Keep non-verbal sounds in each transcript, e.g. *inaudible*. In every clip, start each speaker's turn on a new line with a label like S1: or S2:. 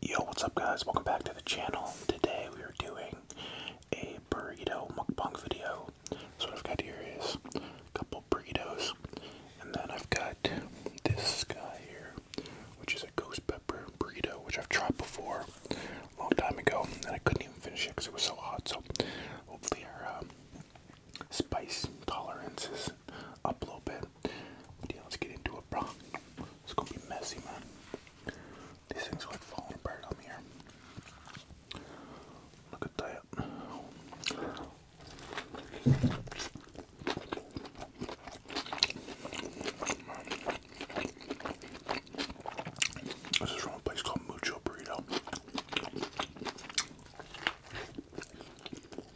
S1: Yo, what's up guys? Welcome back to the channel. Today we are doing a burrito mukbang video. So what I've got here is a couple burritos. And then I've got this guy here, which is a ghost pepper burrito, which I've tried before a long time ago, and I couldn't even finish it because it was so hot. So hopefully our um, spice tolerance is up a little bit let's get into it, bro. It's gonna be messy, man. These things are like falling apart on me here. Look at that. This is from a place called Mucho Burrito. I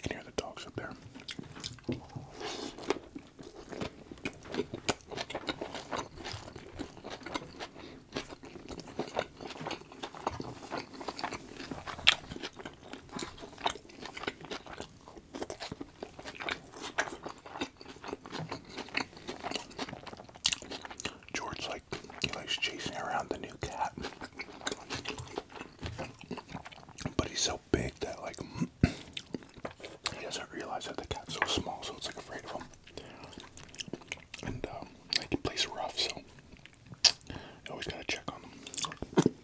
S1: can hear the dogs up there. George like he likes chasing around the new cat. But he's so big that like *clears throat* he doesn't realize that the cat's so small, so it's like afraid of him. And they um, can play rough, so you always gotta check on them.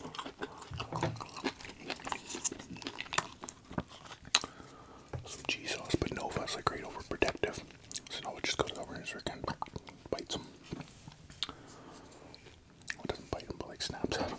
S1: Some cheese sauce, but Nova's like great overprotective, so Nova just goes over his and bites him. Well, doesn't bite him, but like snaps at him.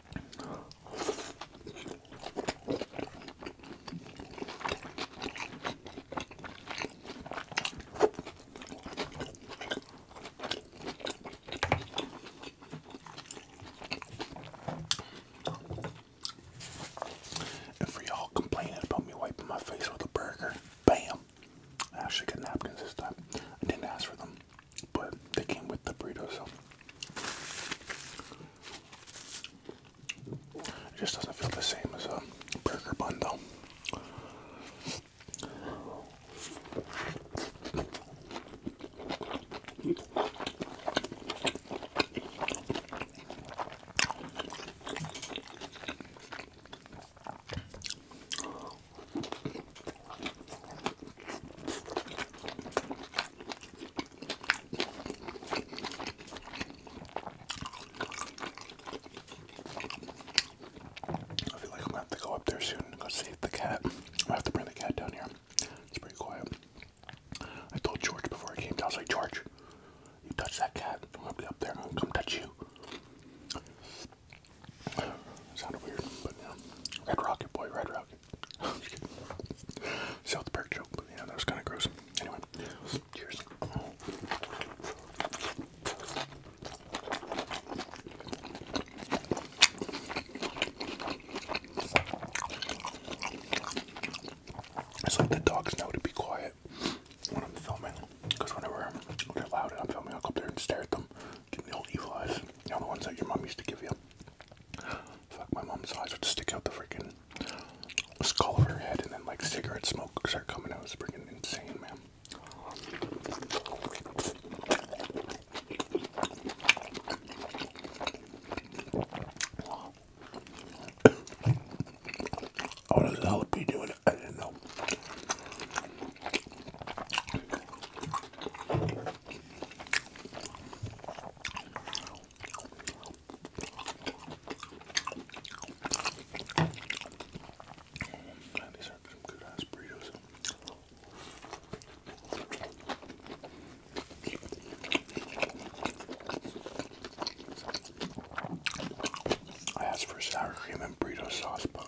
S1: And for y'all complaining about me wiping my face with a burger, bam! I actually got napkins this time. I didn't ask for them. But they came with the burrito, so it just doesn't feel the same as a burger bundle. I feel like I'm gonna have to go up there soon and go save the cat. i have to bring the cat down here. It's pretty quiet. I told George before I came down, I was like, George, you touch that cat, I'm gonna be up there, I'm gonna come touch you. sounded weird, but yeah. Red Rocket Boy, Red Rocket. South Park joke, yeah, that was kind of gross. Anyway, cheers. It's like the dogs know to be quiet when I'm filming, because whenever they're loud I'm filming, I'll go up there and stare at them, give me the old evil eyes. The know, ones that your mom used to give you. Fuck, my mom's eyes would stick out the freaking skull of her head, and then like cigarette smoke would start coming out. It's freaking insane, man. I was doing I didn't know. Man, these are some good ass burritos. I asked for sour cream and burrito sauce, but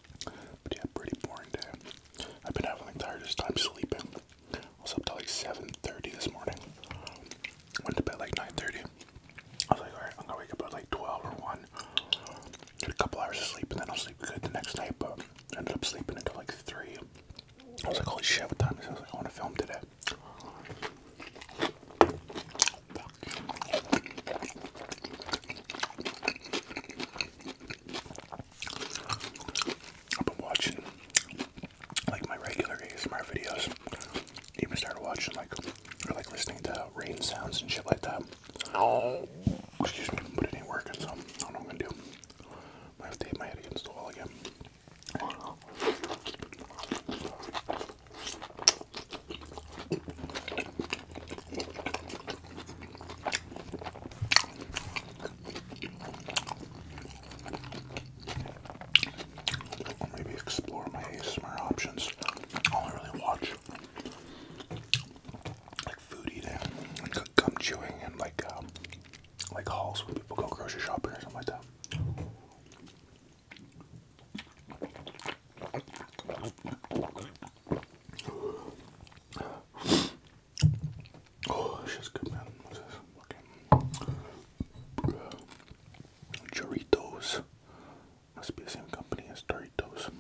S1: But yeah, pretty boring day. I've been having the hardest time sleeping. I was up till like 7.30 this morning. Went to bed like 9.30. I was like, alright, I'm gonna wake up at like 12 or 1. Get a couple hours of sleep and then I'll sleep good the next night, but ended up sleeping until like 3. I was like, holy shit, what time is it? I was like, I want to film today. I've been watching like my regular Smart videos. Even started watching like or like listening to rain sounds and shit like that. Oh. excuse me, but it ain't working, so I don't know what I'm gonna do. I have to hit my head against the wall again. Maybe explore my ASMR options. I really watch like food eating and gum chewing and like um, like hauls when people go grocery shopping or something like that. Oh, this is good, man. What's this? Fucking Doritos. Must be the same company as Doritos.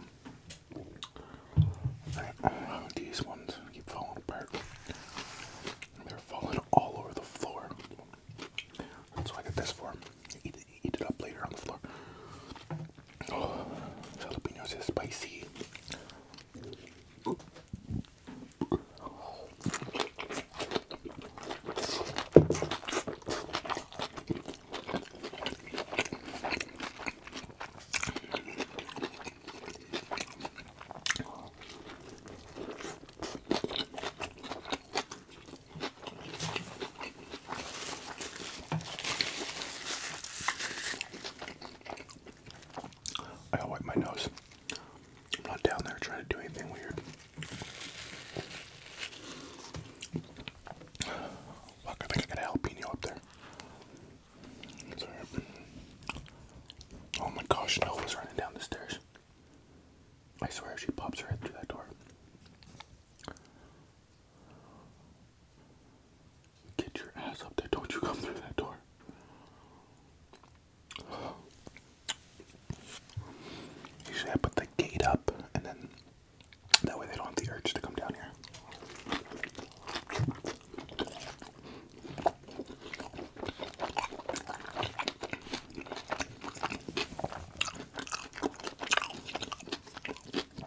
S1: Uh, these ones keep falling apart. They're falling all over the floor. That's what I get this for. Eat, it up later on the floor. Oh, *sighs* jalapenos are spicy. I'll wipe my nose. I'm not down there trying to do anything weird. I think I got a jalapeno up there. Oh my gosh, no running down the stairs. I swear she pops right through that door. Get your ass up there. Don't you come through that door. Usually I put the gate up and then that way they don't have the urge to come down here. I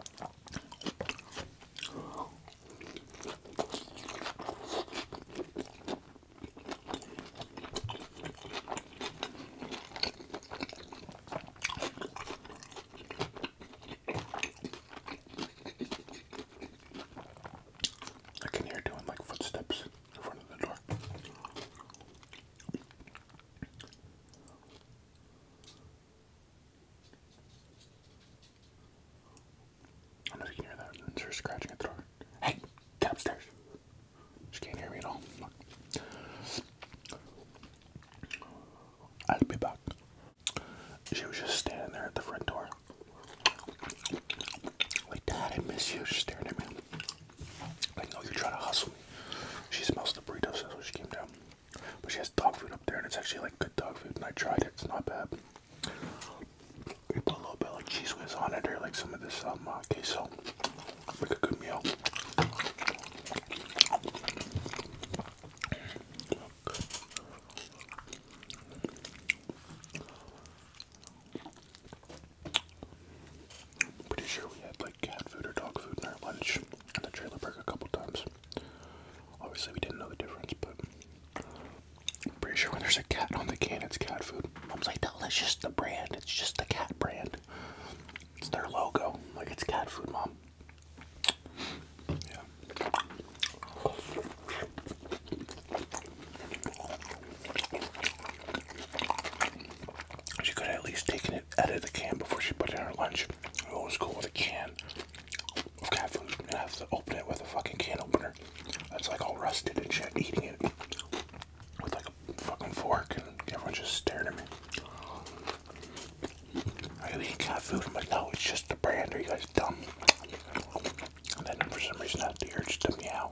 S1: can hear doing like footsteps in front of the door. I don't know that. It's scratching at the door. Hey, get upstairs. She can't hear me at all. I'll be back. She was just standing there at the front door. Like, Dad, I miss you. She's staring at me. I know you're trying to hustle me. She smells the burritos, so she came down. But she has dog food up there, and it's actually like good dog food. And I tried it; it's not bad. We put a little bit like cheese whiz on it, or like some of this um uh, Like a good meal. pretty sure we had like cat food or dog food in our lunch the trailer park a couple times. Obviously, we didn't know the difference, but I'm pretty sure when there's a cat on the can, it's cat food. Mom's like, no, that's just the brand. It's just the cat brand. It's their logo. Like, it's cat food, Mom. Yeah. She could at least taken it out the can before she put in her lunch. I always cool with a can of cat food and I have to open it with a fucking can opener. That's like all rusted and shit, eating it with like a fucking fork and everyone just staring at me. I eat cat food, I'm like, no, it's just the brand, are you guys dumb? And then for some reason I had the urge to meow.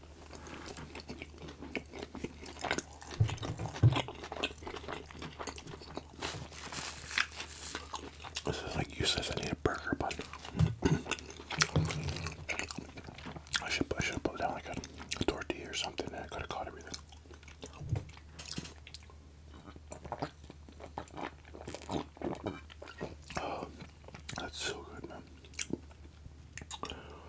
S1: This is like you useless. I need a burger but *clears throat* I should I should have put down like a, a tortilla or something, and I could have caught everything. Oh, that's so good, man.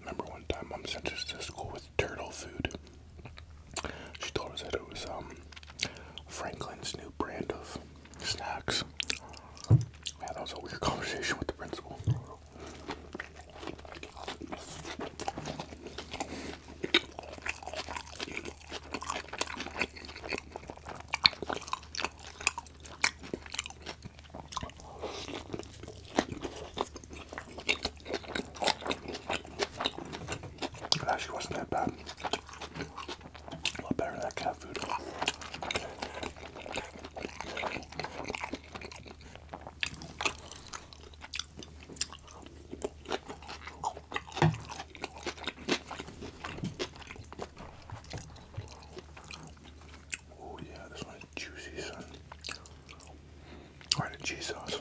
S1: Remember one time mom sent us to school with turtle food. She told us that it was um Franklin's new brand of snacks. Yeah, that was a weird *laughs* conversation with the principal. It actually wasn't that bad. A lot better than that cat food. Oh yeah, this one is juicy, son. Alright, a cheese sauce.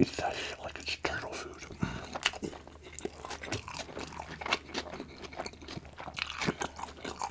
S1: Eat that shit like it's turtle food.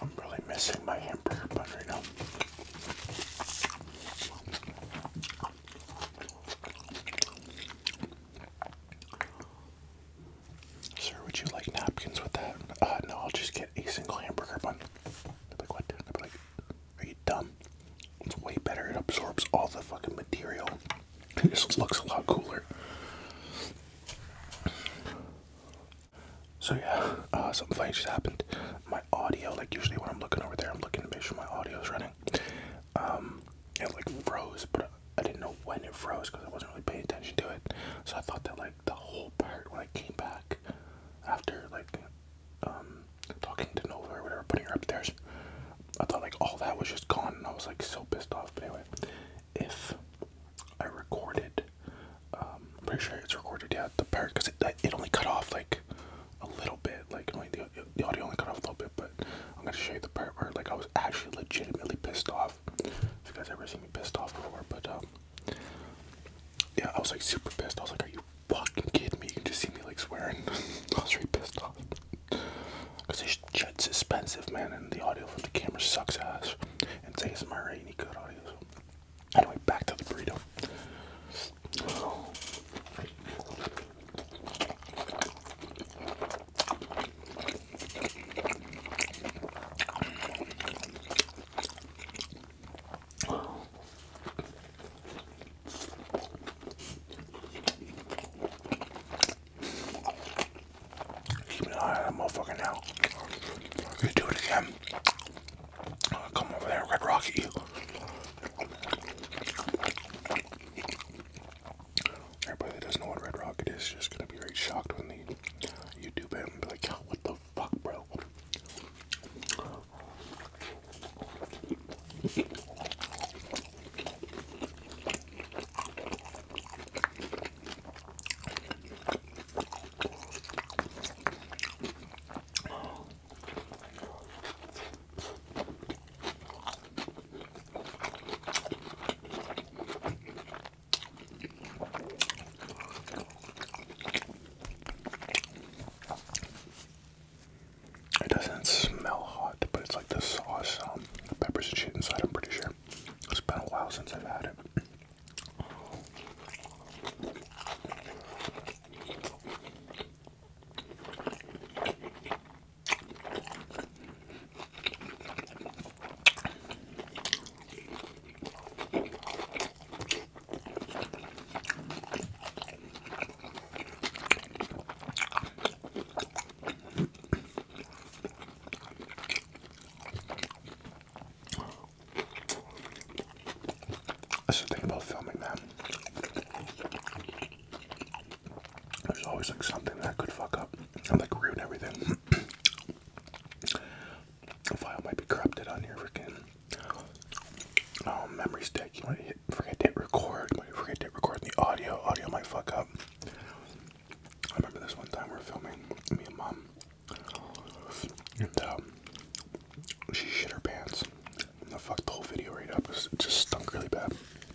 S1: I'm really missing my hamburger bun right now. Sir, would you like napkins with that? Uh, no, I'll just get a single hamburger bun. They're what? They're are you dumb? It's way better. It absorbs all the fucking material. *laughs* It just looks a lot cooler. So yeah, uh, something funny just happened. My audio, like usually when I'm looking over there, I'm looking to make sure my audio is running. Um, it like froze, but I didn't know when it froze because I wasn't really paying attention to it. So I thought that like the whole part when I came back after like um, talking to Nova or whatever, putting her upstairs, I thought like all that was just gone and I was like so pissed off. But anyway, if I recorded, um, I'm pretty sure it's recorded, yeah, the part because it, it only cut off like a little bit, like only the, the audio only cut off a little bit, but I'm gonna show you the part where like I was actually legitimately pissed off if you guys ever see me pissed off before, but um, yeah, I was like super pissed. I was like, "Are you fucking kidding me?" You can just see me like swearing. *laughs* I was really pissed off because this shit's expensive, man, and the audio from the camera sucks ass. And it's ASMR, right? You good audio. So. Anyway, back to the burrito. Keep an eye on that motherfucker now. You do it again. I'll come over there and red rocket you. Everybody that doesn't know what Red Rocket is just gonna be very shocked when the YouTube him be like, what the fuck, bro? It doesn't smell hot, but it's like the sauce, um, the peppers and shit inside, I'm pretty sure. It's been a while since I've had it. I should think about filming, man. There's always like something that could fuck up and like ruin everything. A file might be corrupted on your freaking oh, memory stick. You might forget to hit record. You might forget to record the audio. Audio might fuck up. I remember this one time we were filming me and mom, and um, she shit her pants. And I the whole video right up. It just stunk really bad.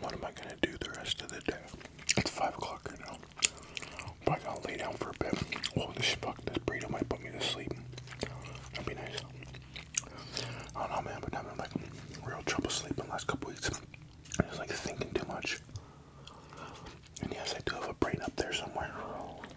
S1: What am I gonna do the rest of the day? It's five o'clock right now. But I gotta lay down for a bit. Oh, this fuck, this burrito might put me to sleep. That'd be nice. I don't know, man, but i am been like real trouble sleeping the last couple weeks. I was like thinking too much. And yes, I do have a brain up there somewhere.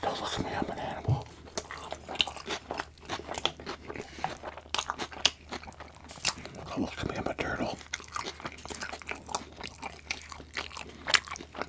S1: Don't look at me, I'm an animal. Don't look at me, I'm a turtle.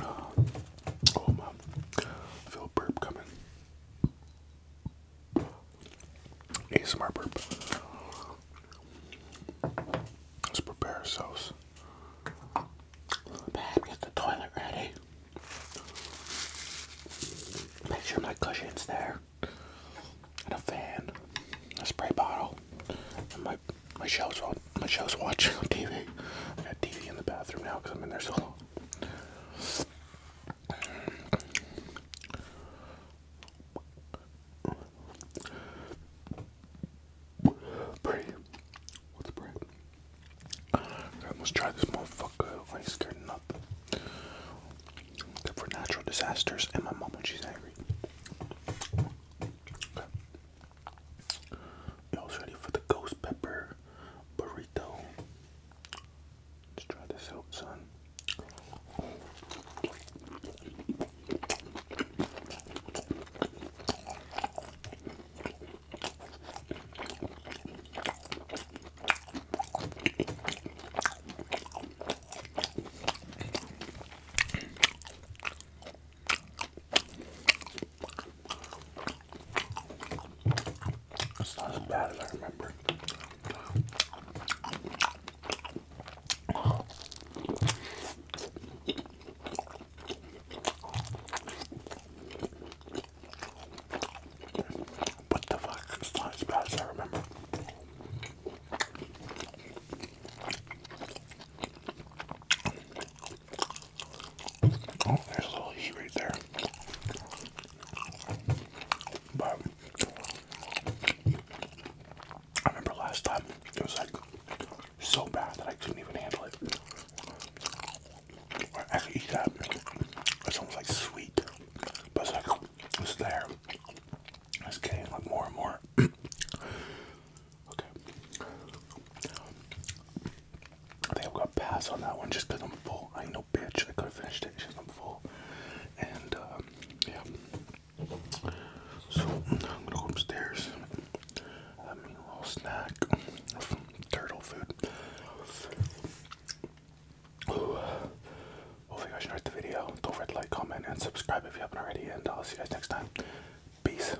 S1: Oh, my! I feel a burp coming. smart burp. Let's prepare ourselves. Babe, get the toilet ready. Make sure my cushion's there. And a fan, a spray bottle, and my, my shelves will which I was watching on TV. I got TV in the bathroom now because I'm in there so long. Pray. What's pray? Let's try this motherfucker. I scared nothing. for natural disasters and my mom she's angry. Y'all's ready for the ghost pepper burrito. Let's try this out, son. It's not as bad as I remember. What the fuck? It's not as bad as I remember. Oh, there's a little heat right there. But I remember last time it was like so bad that I couldn't even handle it. I could eat that. It's almost like sweet, but it's like it's there. It's getting like more and more. *clears throat* Okay. I think I'm gonna pass on that one just because I'm full. I ain't no bitch. I could have finished it I'm full. And um, yeah. So I'm gonna go upstairs. Have me a little snack turtle food. Ooh. Hopefully you guys enjoyed the video. Don't forget to like, comment, and subscribe if you haven't already. And I'll see you guys next time. Peace.